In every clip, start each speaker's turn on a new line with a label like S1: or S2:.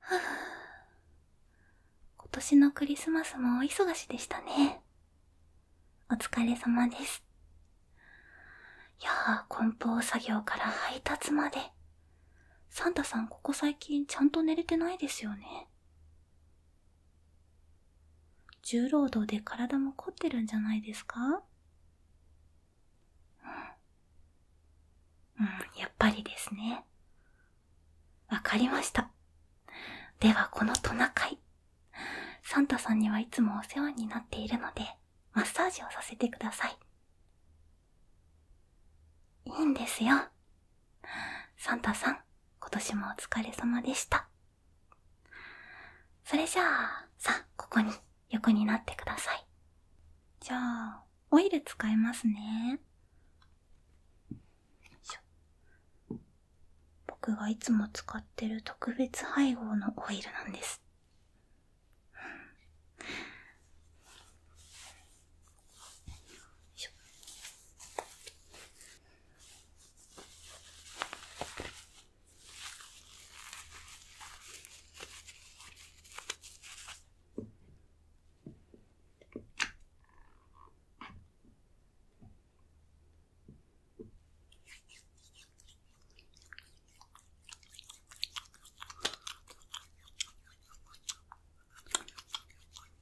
S1: は 今年のクリスマスもお忙しでしたね。お疲れ様です。いやあ、梱包作業から配達まで。サンタさんここ最近ちゃんと寝れてないですよね。重労働で体も凝ってるんじゃないですかうん、やっぱりですね。わかりました。ではこのトナカイ。サンタさんにはいつもお世話になっているので、マッサージをさせてください。いいんですよ。サンタさん、今年もお疲れ様でした。それじゃあ、さあ、ここに横になってください。じゃあ、オイル使いますね。僕がいつも使ってる特別配合のオイルなんです。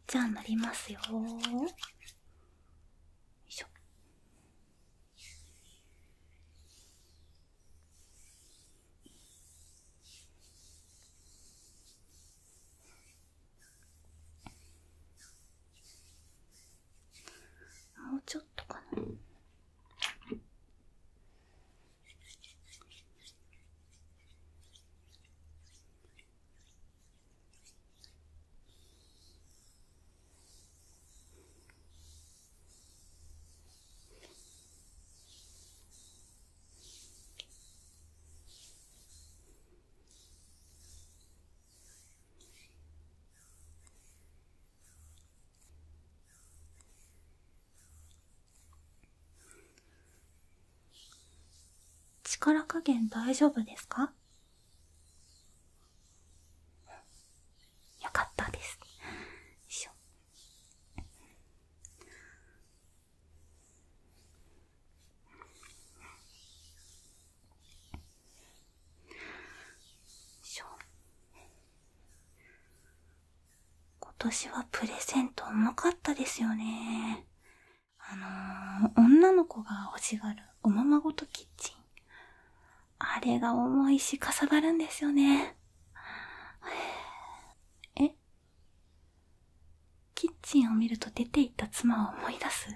S1: じゃあなりますよよいしょもうちょっとかな。力加減大丈夫ですかよかったです。よいしょ。しょ今年はプレゼント重かったですよね。あの女の子が欲しがるおままごとキッチン。あれが重いしかさばるんですよね。えキッチンを見ると出て行った妻を思い出す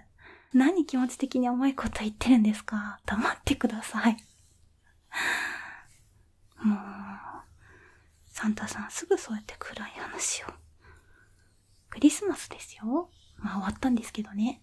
S1: 何気持ち的に重いこと言ってるんですか黙ってください。もう、サンタさんすぐそうやって暗い話を。クリスマスですよ。まあ終わったんですけどね。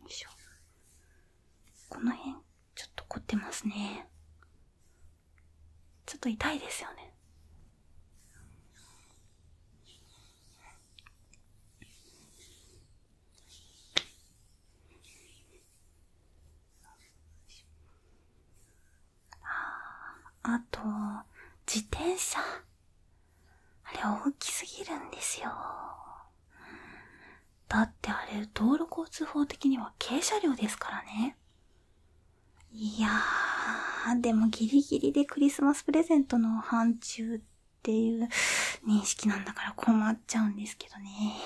S1: よいしょこの辺ちょっと凝ってますねちょっと痛いですよねあと、自転車。あれ大きすぎるんですよ。だってあれ、道路交通法的には軽車両ですからね。いやー、でもギリギリでクリスマスプレゼントの範疇っていう認識なんだから困っちゃうんですけどね。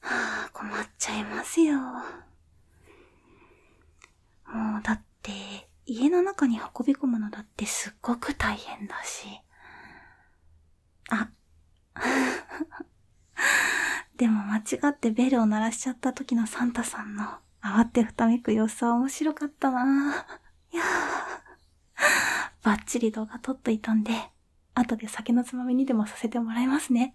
S1: はあ、困っちゃいますよ。もうだって家の中に運び込むのだってすっごく大変だしあ でも間違ってベルを鳴らしちゃった時のサンタさんの慌てふためく様子は面白かったなぁ。いやぁ。バッチリ動画撮っといたんで、後で酒のつまみにでもさせてもらいますね。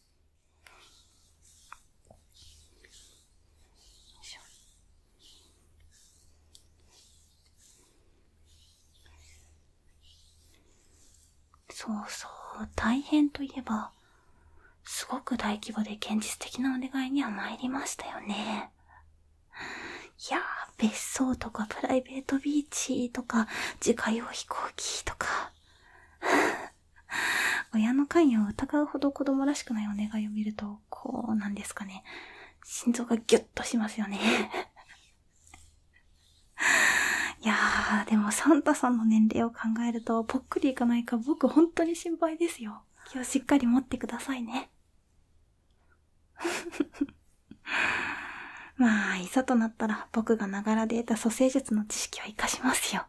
S1: よいしょそうそう大変といえばすごく大規模で現実的なお願いには参りましたよねいや別荘とかプライベートビーチとか自家用飛行機とか親の関与を疑うほど子供らしくないお願いを見るとこうなんですかね心臓がギュッとしますよね いやーでもサンタさんの年齢を考えるとぽっくりいかないか僕ほんとに心配ですよ気をしっかり持ってくださいね まあ、いざとなったら僕がながらで得た蘇生術の知識を生かしますよ。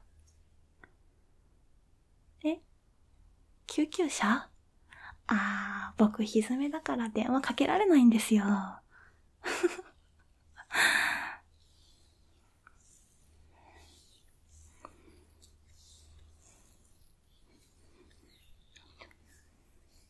S1: えっ。救急車あー、僕ひずめだから電話かけられないんですよ。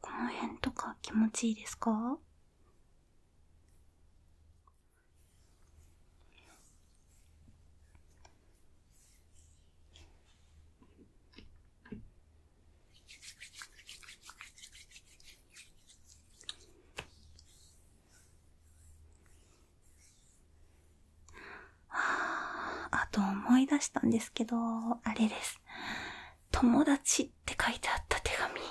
S1: この辺とか気持ちいいですかああと思い出したんですけどあれです「友達」って書いてあった手紙いや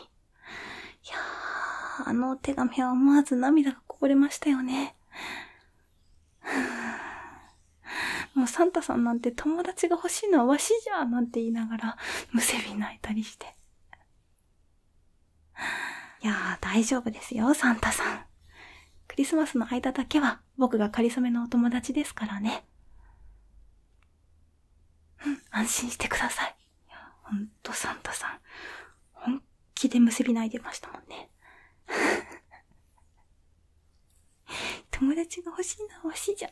S1: あの手紙は思わず涙がこぼれましたよねもうサンタさんなんて友達が欲しいのはわしじゃなんて言いながらむせび泣いたりしていやー大丈夫ですよサンタさんクリスマスの間だけは僕がかりそめのお友達ですからねうん安心してくださいいやほんとサンタさん本気でむせび泣いてましたもんね 友達が欲しいのは欲しいじゃん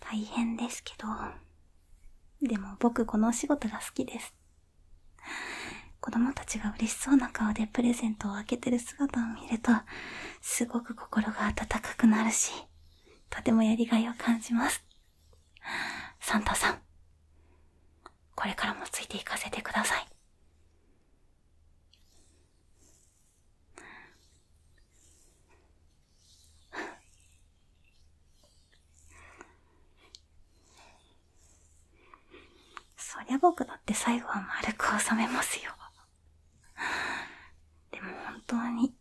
S1: 大変ですけど、でも僕このお仕事が好きです。子供たちが嬉しそうな顔でプレゼントを開けてる姿を見ると、すごく心が温かくなるし、とてもやりがいを感じます。サンタさん、これからもついていかせてくださいそりゃ僕だって最後は丸く収めますよ。でも本当に、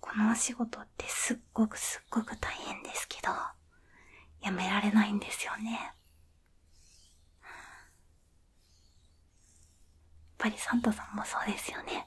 S1: このお仕事ってすっごくすっごく大変ですけど、やめられないんですよね。やっぱりサンタさんもそうですよね。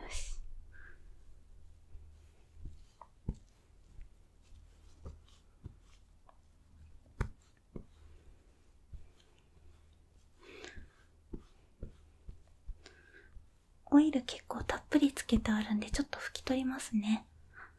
S1: よしオイル結構たっぷりつけてあるんでちょっと拭き取りますね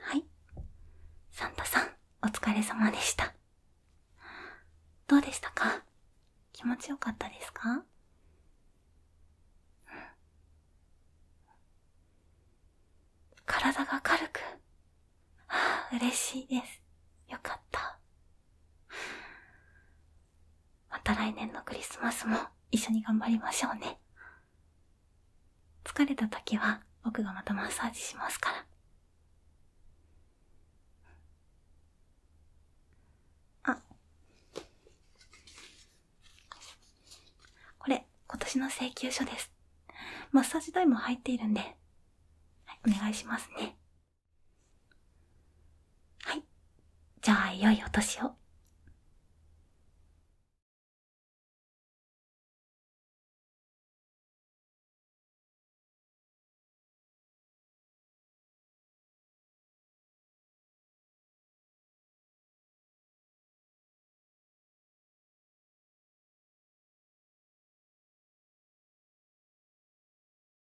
S1: はい。サンタさん、お疲れ様でした。どうでしたか気持ちよかったですか体が軽く、嬉しいです。よかった。また来年のクリスマスも一緒に頑張りましょうね。疲れた時は僕がまたマッサージしますから。あ。これ、今年の請求書です。マッサージ代も入っているんで、はい、お願いしますね。はい。じゃあ、いよいお年を。